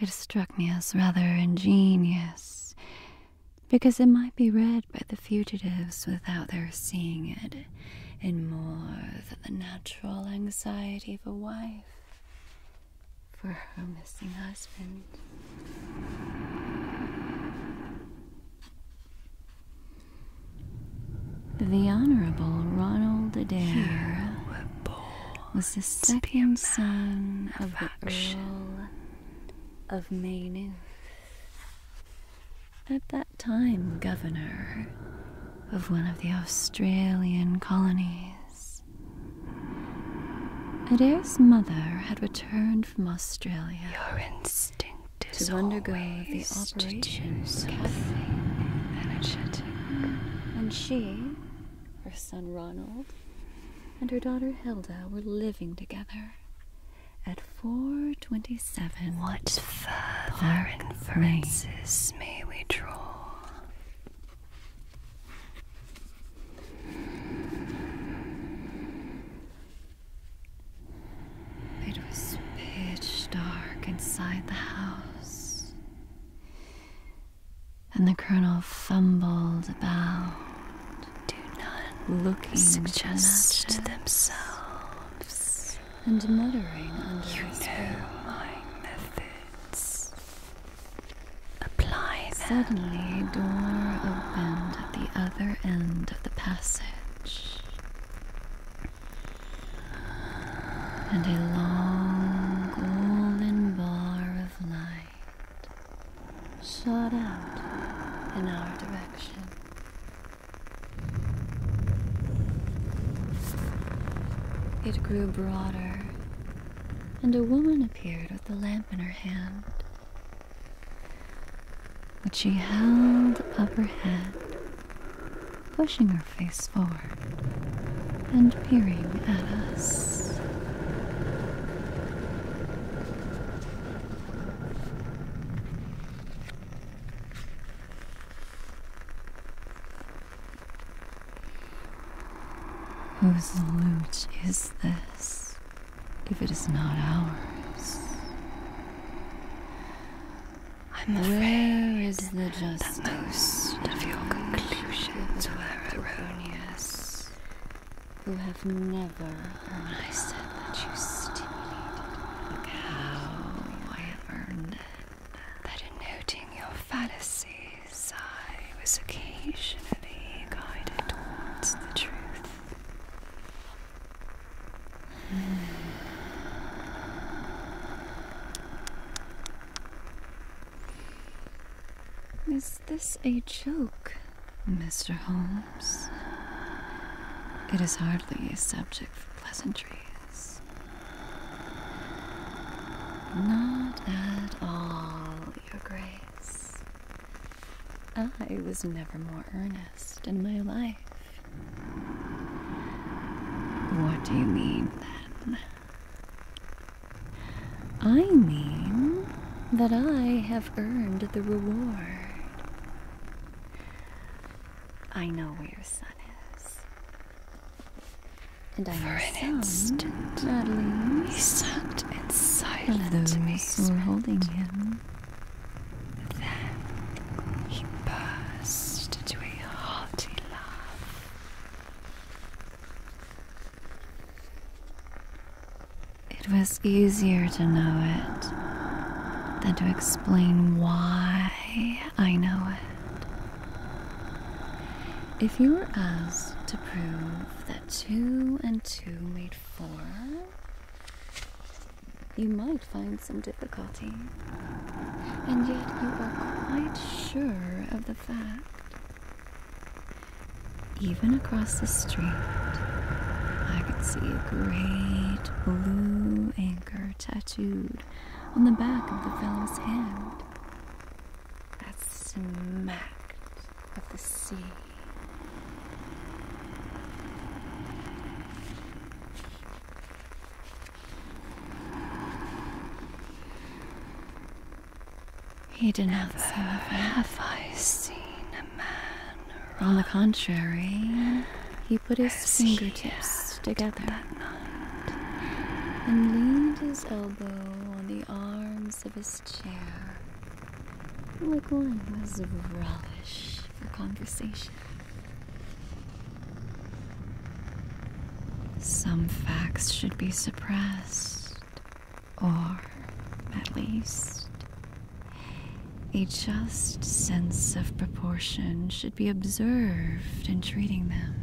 It struck me as rather ingenious because it might be read by the fugitives without their seeing it. And more than the natural anxiety of a wife for her missing husband. The Honorable Ronald Adair was the stepson of, of the Earl of Maynooth at that time, governor of one of the Australian colonies. Adair's mother had returned from Australia. Your instinct is to undergo the operation something energetic. And she, her son Ronald, and her daughter Hilda were living together at 427. What further Park inferences may we draw? It was pitch dark inside the house, and the colonel fumbled about. Do not looking suggest to themselves and muttering under you breath. You know my methods. Apply them. Suddenly, a door opened at the other end of the passage, and a long golden bar of light shot out in our direction. It grew broader, and a woman appeared with a lamp in her hand, which she held up her head, pushing her face forward and peering at us. Whose loot is this if it is not ours? I'm Where is the justice? That most of your conclusions were erroneous. Who have never, I said that you stimulated. How I have earned it. That noting your fallacies, I was occasionally guided towards the truth. Is this a joke, Mr. Holmes? It is hardly a subject for pleasantries. Not at all, Your Grace. I was never more earnest in my life. What do you mean, then? I mean that I have earned the reward. I know where your son is. And I For an some, instant, at least, he sat in silent those were holding him. Then he burst into a hearty laugh. It was easier to know it than to explain explain why I know it. If you were asked to prove that two and two made four, you might find some difficulty. And yet you are quite sure of the fact. Even across the street, I could see a great blue tattooed on the back of the fellow's hand. That smacked of the sea. He did not have I seen a man on the contrary, he put his fingertips together and leaned his elbow on the arms of his chair, like one who was relish for conversation. Some facts should be suppressed, or at least a just sense of proportion should be observed in treating them.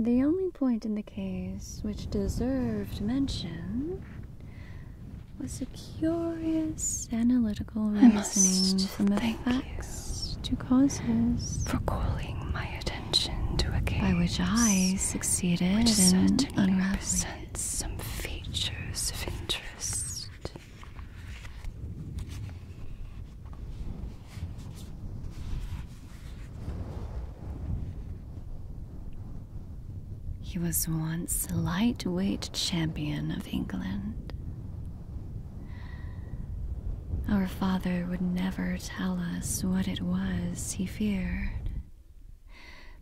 The only point in the case which deserved mention was a curious analytical reasoning from effects to causes by which I succeeded which in unraveling some features of interest he was once a lightweight champion of England. Our father would never tell us what it was he feared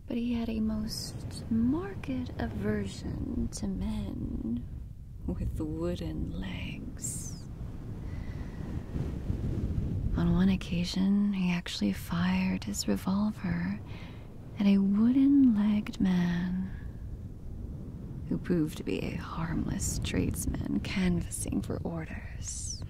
but he had a most marked aversion to men with wooden legs. On one occasion, he actually fired his revolver at a wooden legged man who proved to be a harmless tradesman canvassing for orders.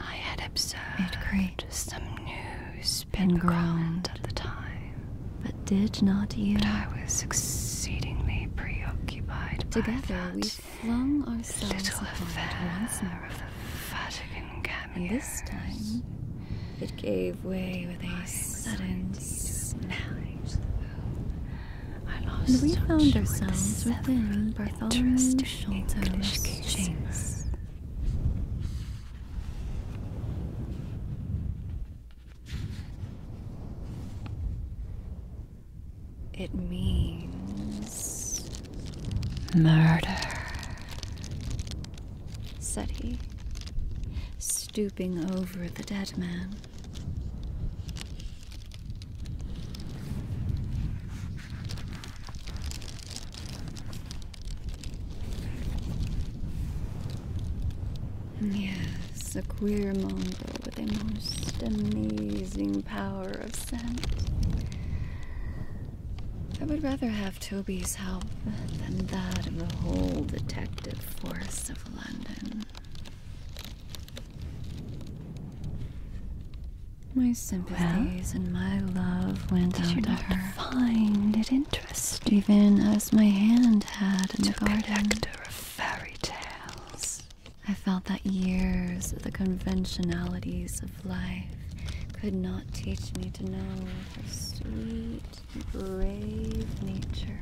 I had observed some news and ground at the time, but did not you? I was exceedingly preoccupied. Together we flung ourselves little affair once more. of the Vatican cameo. This time, it gave with a sudden snap. And we found ourselves within Bartholomew's Sholto's chambers. It means murder, said he stooping over the dead man. Yes, a queer mongrel with a most amazing power of scent. I would rather have Toby's help than that of the whole detective secluded forests of London. My sympathies and my love went out to her. Find it interesting, even as my hand had in to the garden. of fairy tales. I felt that years of the conventionalities of life could not teach me to know her sweet brave nature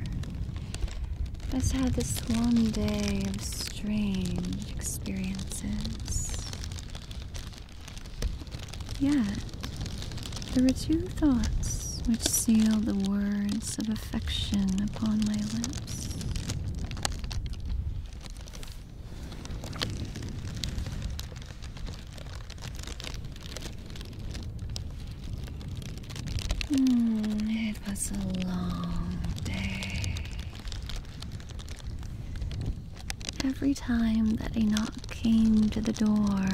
has had this one day of strange experiences. Yet, there were two thoughts which sealed the words of affection upon my lips. Hmm, it was a long day. Every time that a knock came to the door,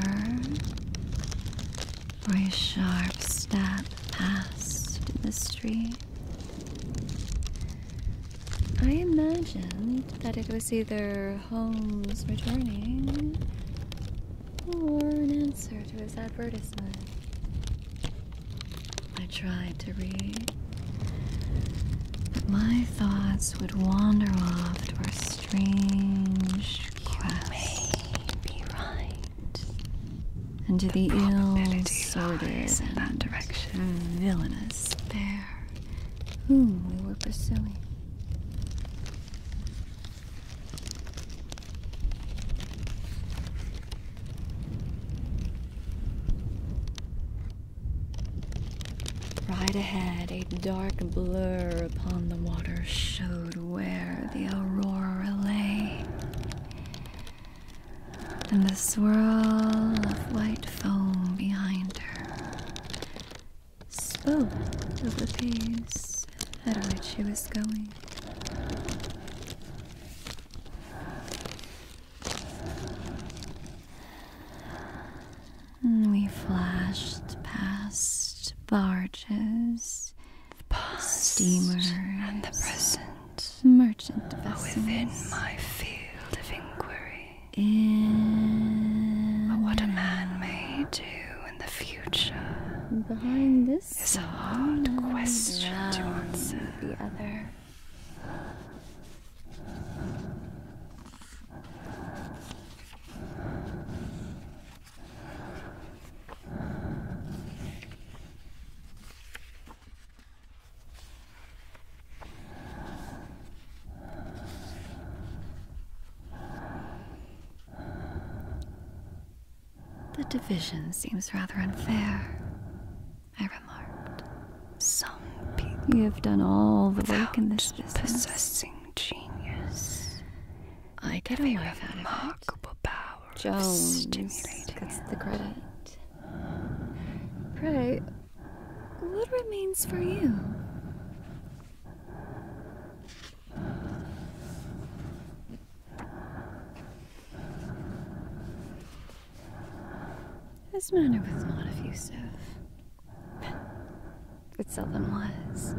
or a sharp step passed the street, I imagined that it was either homes returning for an answer to his advertisement. I tried to read, but my thoughts would wander off to our strange quest. Be right. And to the, the ill sorted in that direction villainous bear whom we were pursuing. Right ahead, a dark blur upon the water showed where the aurora lay. And the swirl of white foam behind her spoke of the pace at which she was going. We flashed past barges, past steamers, and the present merchant vessels within my field of inquiry. but what a man may do in the future behind this is a hard question to answer. The other. The division seems rather unfair, I remarked. you have done all the work in this Possessing genius. I get away with remarkable power Jones gets the credit. Pray, what remains for you? His manner was not effusive. It seldom was.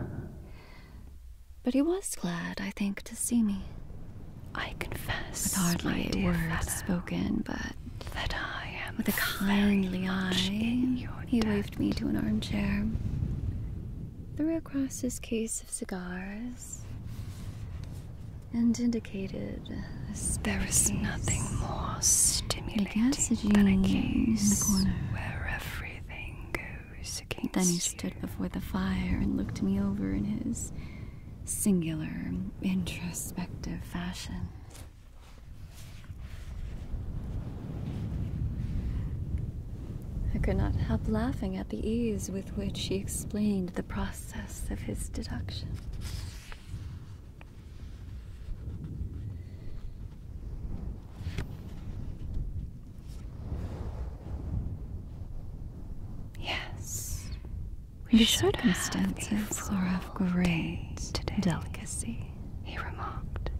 But he was glad, I think, to see me. I confess, with hardly a word spoken, but that I am with a kindly eye, he waved me to an armchair, threw across his case of cigars, and indicated there is nothing more stimulating than a case Then he stood before the fire and looked me over in his singular, introspective fashion. I could not help laughing at the ease with which he explained the process of his deduction. Yes, we circumstances are of great delicacy he remarked,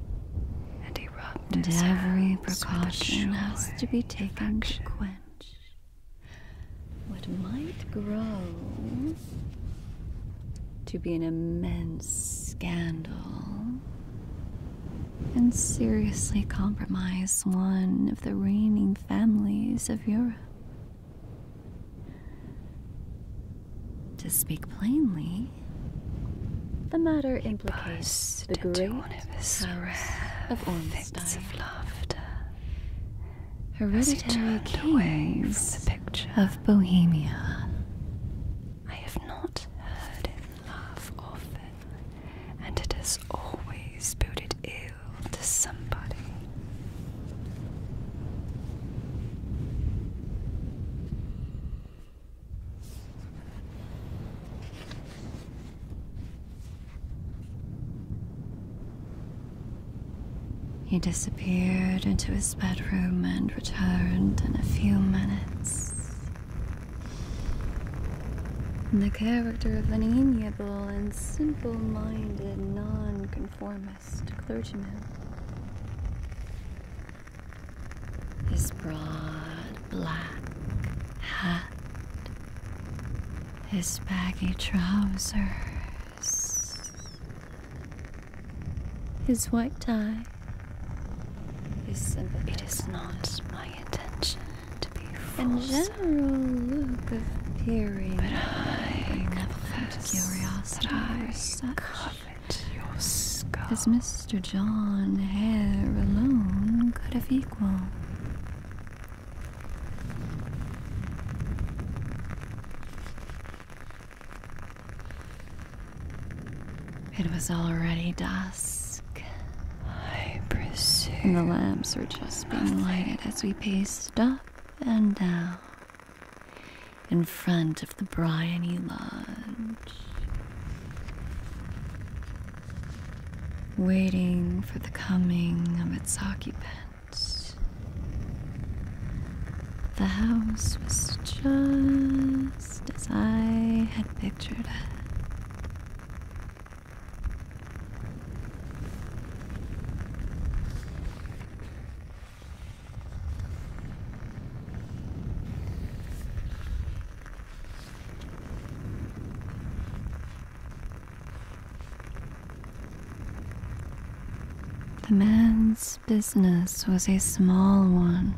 and he rubbed and his every precaution has to be taken to quench what might grow to be an immense scandal and seriously compromise one of the reigning families of Europe. To speak plainly, the matter implicates the great of his of fits of laughter. Hereditary kings from the picture of Bohemia. I have not heard him laugh often, and it has always boded ill to somebody. He disappeared into his bedroom and returned in a few minutes. in The character of an amiable and simple minded nonconformist clergyman his broad black hat, his baggy trousers, his white tie. it is not my intention to be false. In general look of peering. But I never confess curiosity that I such Profit As Mr. John Hare alone could have equal. It was already dusk. I pursue. And the lamps were just being lighted as we paced up and down in front of the Bryony Lodge, waiting for the coming of its occupant, The house was just as I had pictured it. The man's business was a small one,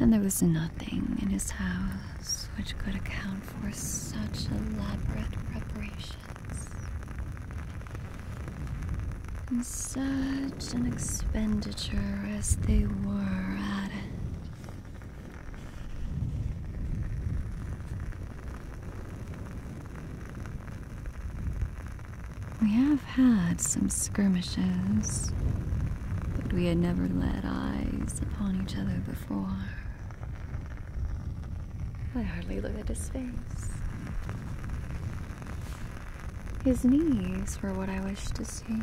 and there was nothing in his house which could account for such elaborate preparations. In such an expenditure as they were at it. We have had some skirmishes, but we had never let eyes upon each other before. I hardly looked at his face. His knees were what I wished to see.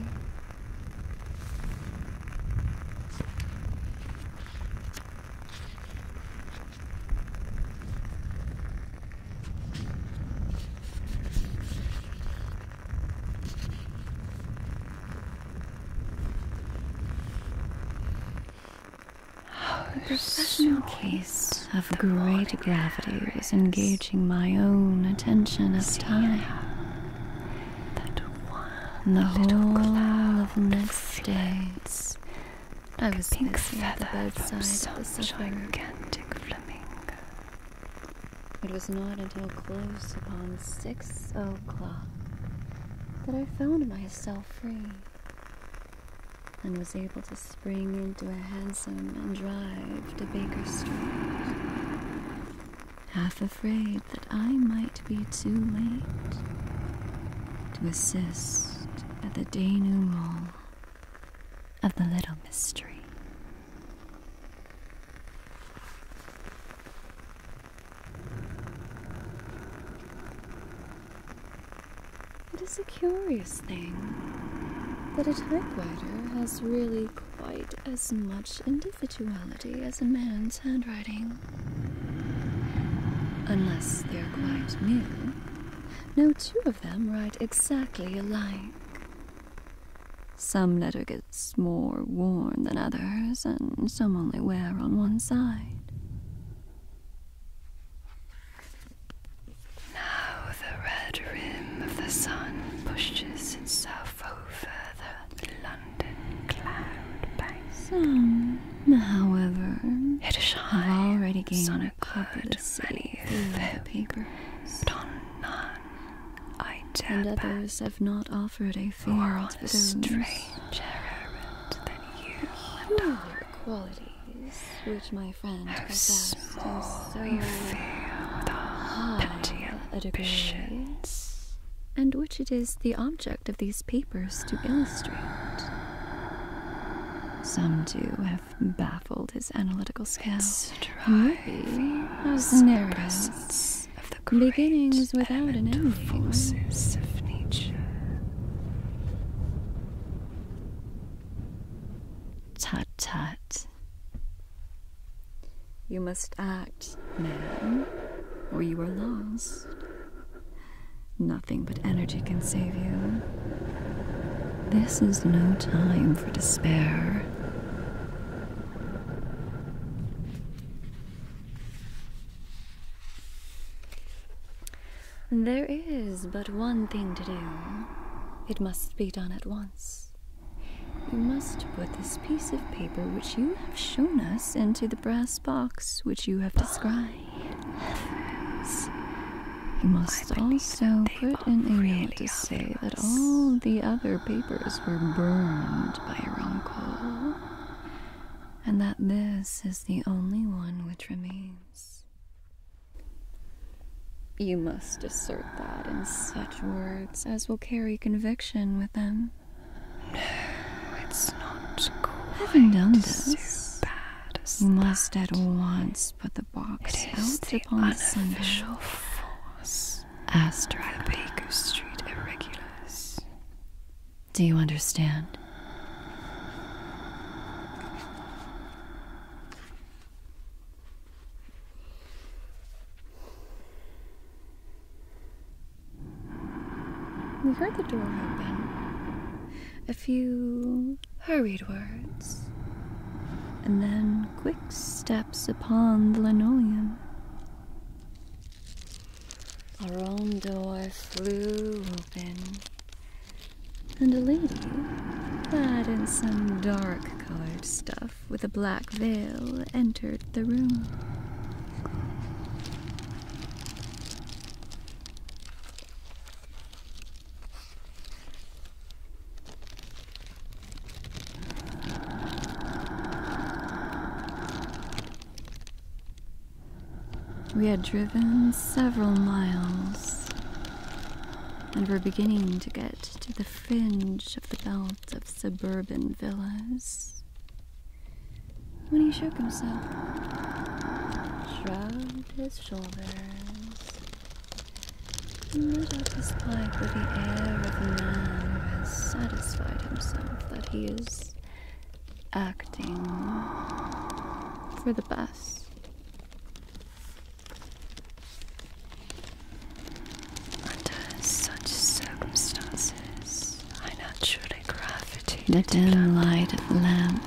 The case of great gravity was engaging my own attention at time. That one the whole of next day, I was pink at the bedside of the gigantic flamingo. It was not until close upon six o'clock that I found myself free and was able to spring into a hansom and drive to Baker Street, half afraid that I might be too late to assist at the denouement of the little mystery. It is a curious thing that a typewriter has really quite as much individuality as a man's handwriting. Unless they're quite new, no two of them write exactly alike. Some letter gets more worn than others, and some only wear on one side. Now the red rim of the sun pushes itself over the London cloud bank. Some, however, it is high already gained sonic covered many papers, but on none I dare And others have not offered a field on a errand than you which my friend possessed is so high a degree, and which it is the object of these papers to illustrate. Some too have baffled his analytical skill. Maybe as narratives, beginnings without an ending. Forces of nature. Tut tut. You must act, man, or you are lost. Nothing but energy can save you. This is no time for despair. There is but one thing to do. It must be done at once. You must put this piece of paper which you have shown us into the brass box which you have described. Heavens. You must also put in a note to say that all the other papers were burned by your uncle, and that this is the only one which remains. You must assert that in such words as will carry conviction with them. No, it's not quite Having done this, so bad you must at once put the box it is out the upon unofficial force. Astra Baker Street Irregulars. Do you understand? We heard the door open, a few hurried words, and then quick steps upon the linoleum. Our own door flew open, and a lady clad in some dark colored stuff with a black veil entered the room. We had driven several miles and we're beginning to get to the fringe of the belt of suburban villas. When he shook himself, shrugged his shoulders, and looked up his plight with the air of a man who has satisfied himself that he is acting for the best. Under such circumstances, I naturally gravitated the dim light of the lamp.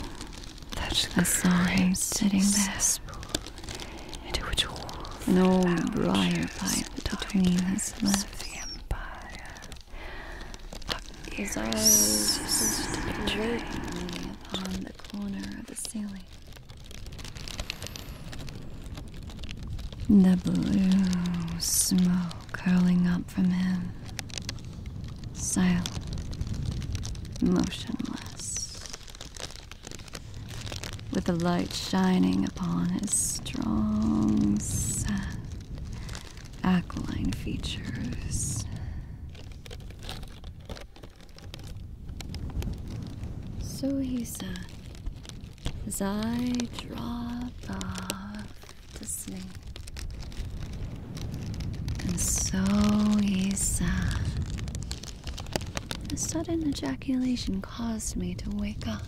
That I sitting there, into which all an old briar pipe between his lips. The empire his eyes on the corner of the ceiling. The blue smoke curling up from him. Silent, motionless, with the light shining upon his strong, sad, aquiline features. So he said, as I dropped off to sleep. And so he said, a sudden ejaculation caused me to wake up.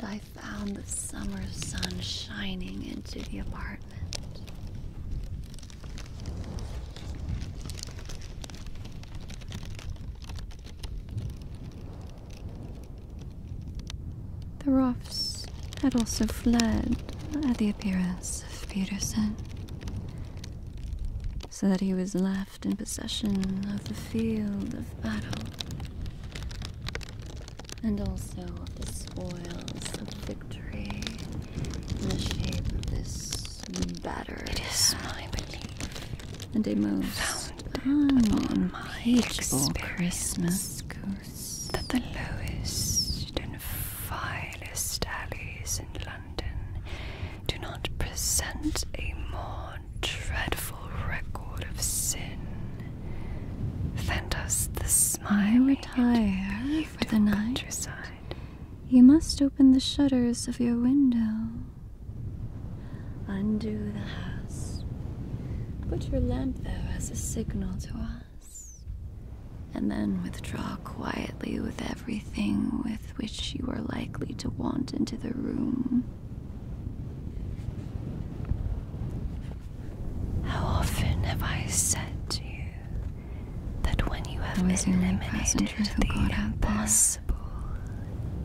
And I found the summer sun shining into the apartment. The Roffs had also fled at the appearance of Peterson, so that he was left in possession of the field of battle and also of the spoils of the victory in the shape It is my belief. And a most unimpeachable Christmas goose. That the lowest and vilest alleys in London do not present a more dreadful record of sin than does the smile. I retire for the night. You must open the shutters of your window. Undo the house. Put your lamp there as a signal to us. And then withdraw quietly with everything with which you are likely to want into the room. How often have I said to you that when you have eliminated the impossible,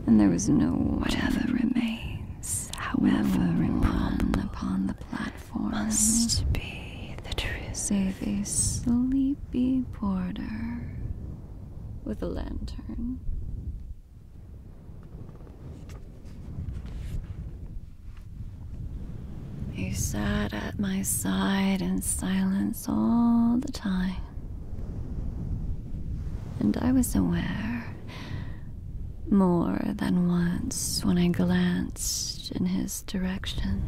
and there is no whatever remains, however no upon the platform must be the truth, save a sleepy porter with a lantern. He sat at my side in silence all the time. And I was aware, more than once when I glanced in his direction,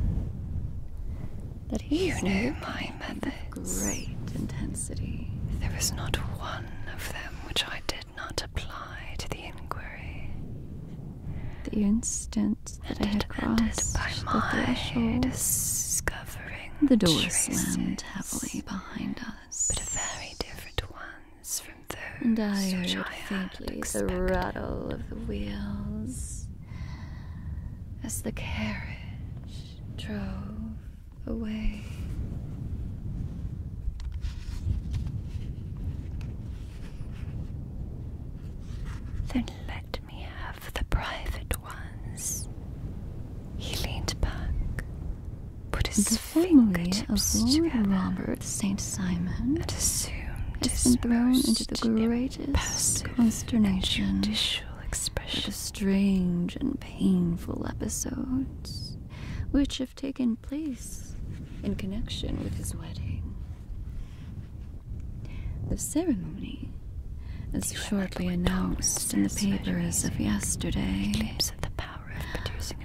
that he you knew my methods. Great intensity. There was not one of them which I did not apply to the inquiry. The instant and that I had crossed the discovering The door slammed heavily behind us, but very different ones from those and I which heard I faintly the rattle of the wheels as the carriage drove away. Then let me have the private ones. He leaned back, put his the fingertips of Lord together, Robert St. Simon, and assumed has his been thrown into the greatest consternation expression. The strange and painful episodes which have taken place in connection with his wedding. The ceremony, as shortly announced in the papers of yesterday,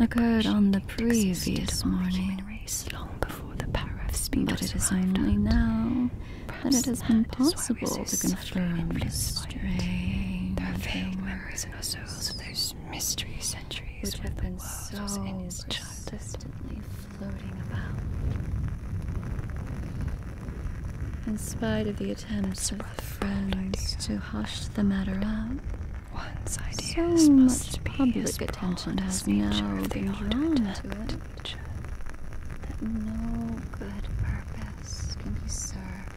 occurred on the previous morning, long but it is only now that it has been possible to confirm the strange There vague memories in our souls of those mystery centuries which have been so persistently floating about. In spite of the attempts of friends to hush the matter up, One's idea so much public attention has been drawn to it that no good purpose can be served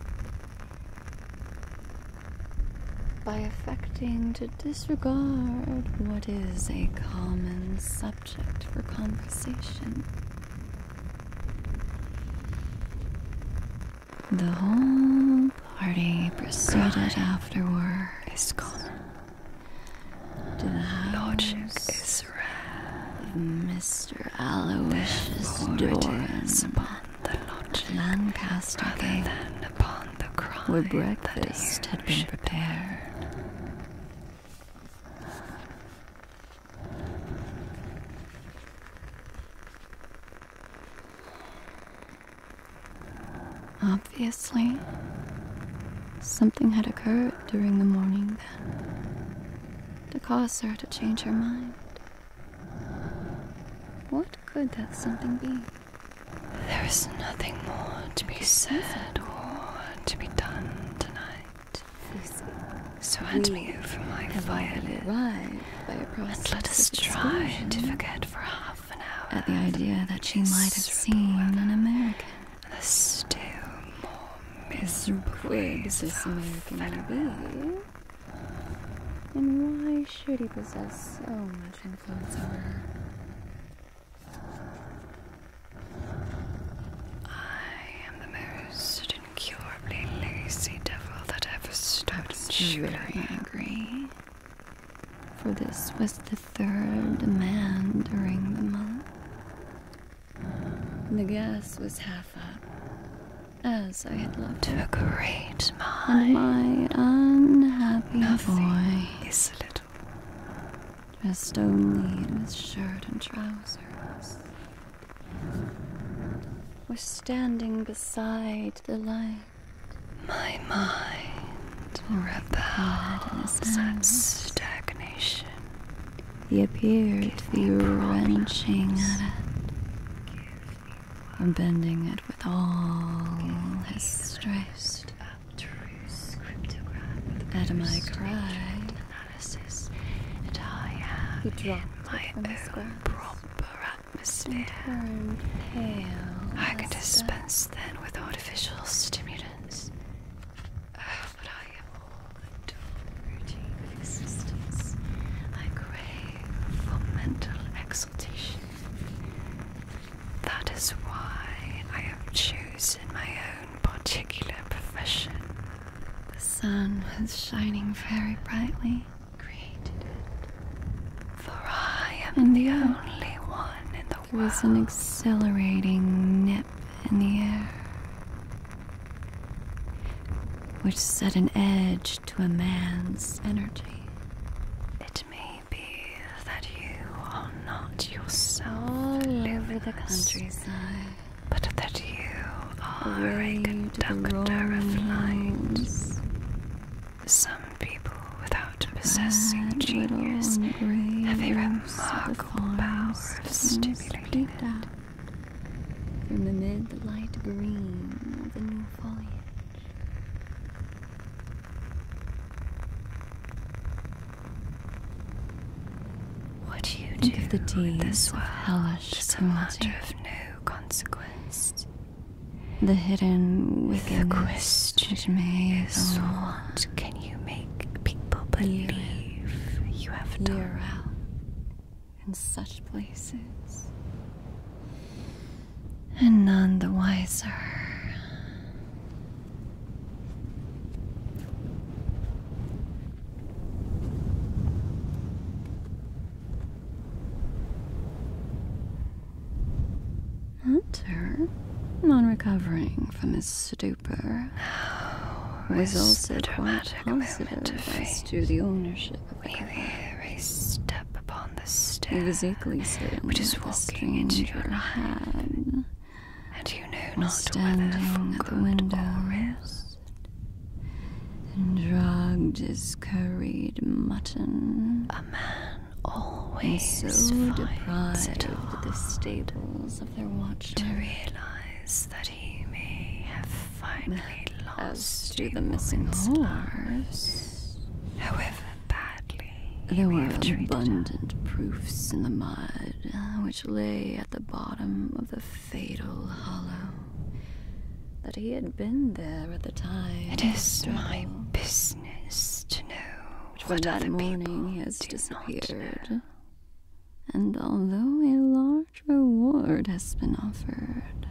by affecting to disregard what is a common subject for conversation. The whole party proceeded afterward is gone. the house is red. Mr. Aloysius Doran, upon the logic Lancaster than upon the crime where breakfast had been prepared. Obviously, something had occurred during the morning then to cause her to change her mind. What could that something be? There is nothing more to be said or to be done tonight. So hand me over my violin and let us try to forget for half an hour at the idea that she might have seen an American. The still more miserable ways this American will and why should he possess so much influence over her? I am the most incurably lazy devil that ever stood very angry. For this was the third demand during the month. The gas was half up, as I had left to a great mind. my unhappy Nothing boy is a Dressed only in his shirt and trousers, was standing beside the light. My mind repels such stagnation. He appeared the wrenching at it, and bending it with all his strength. At my cry, analysis, and I have in my own squats, proper atmosphere. I can dispense then with artificial stimulants. Oh, but I am all the adore of existence. I crave for mental exercise. That is why I have chosen my own particular profession. The sun was shining very brightly, For I am the only one that was an exhilarating nip in the air, which set an edge to a man's energy. Maybe that you are not yourself over the countryside, but that you are a conductor of light. Some people, without possessing genius, have a remarkable power of stimulating it. Out from amid the light green of the new foliage. What you Think do the deeds this world hellish is a matter of no consequence. The hidden with the question is what can you make people believe you have done? Year in such places and none the wiser. Hunter, non recovering from his stupor, was also quite positive as to the ownership of the we upon the on the stair, which is walking into your life, and you know not whether for good window or rest. And drugged is curried mutton. A man always so deprived of the stables of their watchtower, to realize that he may have finally lost as to the missing stars. However, there were abundant proofs in the mud which lay at the bottom of the fatal hollow. That he had been there at the time. It is my business to know what other morning people has disappeared. And although a large reward has been offered,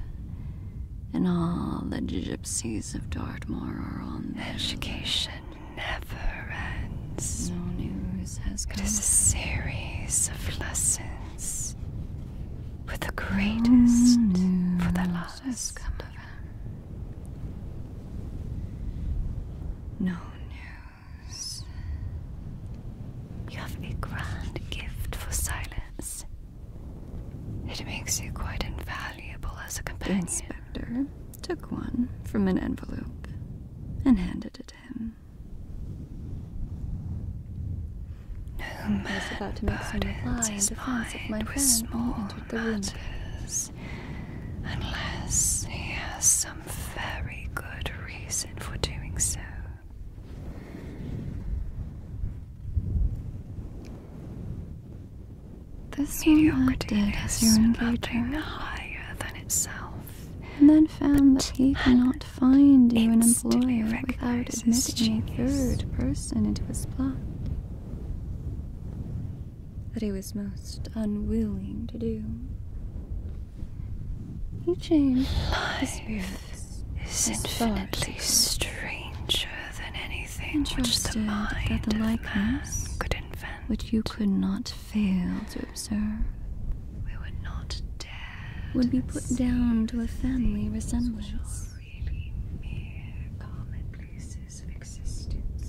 and all the gypsies of Dartmoor are on Education never ends. No news has come. It is a series of lessons, with the greatest for the last. No news. You have a grand gift for silence. It makes you quite invaluable as a companion took one from an envelope and handed it to him. No man was about to make some reply in defense of my friend when he entered the Matters, unless he has some very good reason for doing so. This you mediocrity is a higher than itself, and then found that he cannot find you an employer without admitting a third person into his plot. That he was most unwilling to do. You changed Life his views. Is infinitely stranger than any anything which that the likeness could which you could not fail to observe, would be put down to a family resemblance.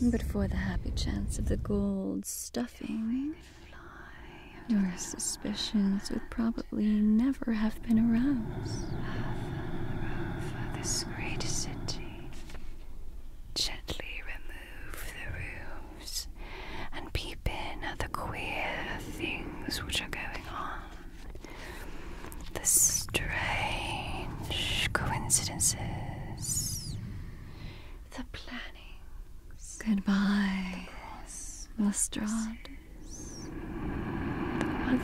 But for the happy chance of the gold stuffing, your suspicions would probably never have been aroused. Gently remove the roofs and peep in at the queer things which are going on. The strange coincidences. The planning. Goodbye, Lestrade.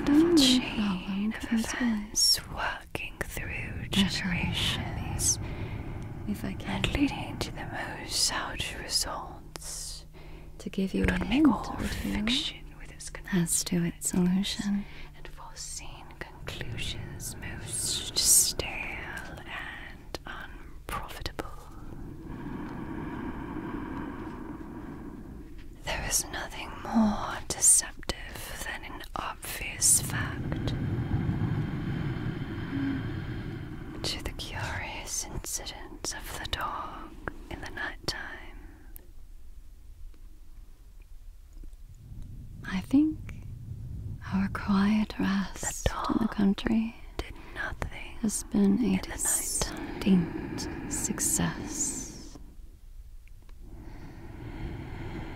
The, the chain of events through generations if I can. and leading to the most outer results. To give you Don't a make hint all or fiction with its as to its solution and foreseen conclusions most stale and unprofitable. There is nothing more deceptive than an obvious fact. To the curious incident of the dog in the nighttime. I think our quiet rest in the country did nothing has been a distinct success.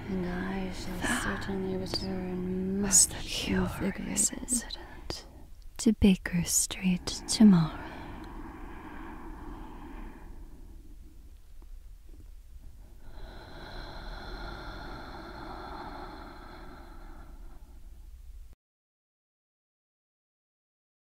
And I shall that certainly return much the curious incident to Baker Street tomorrow.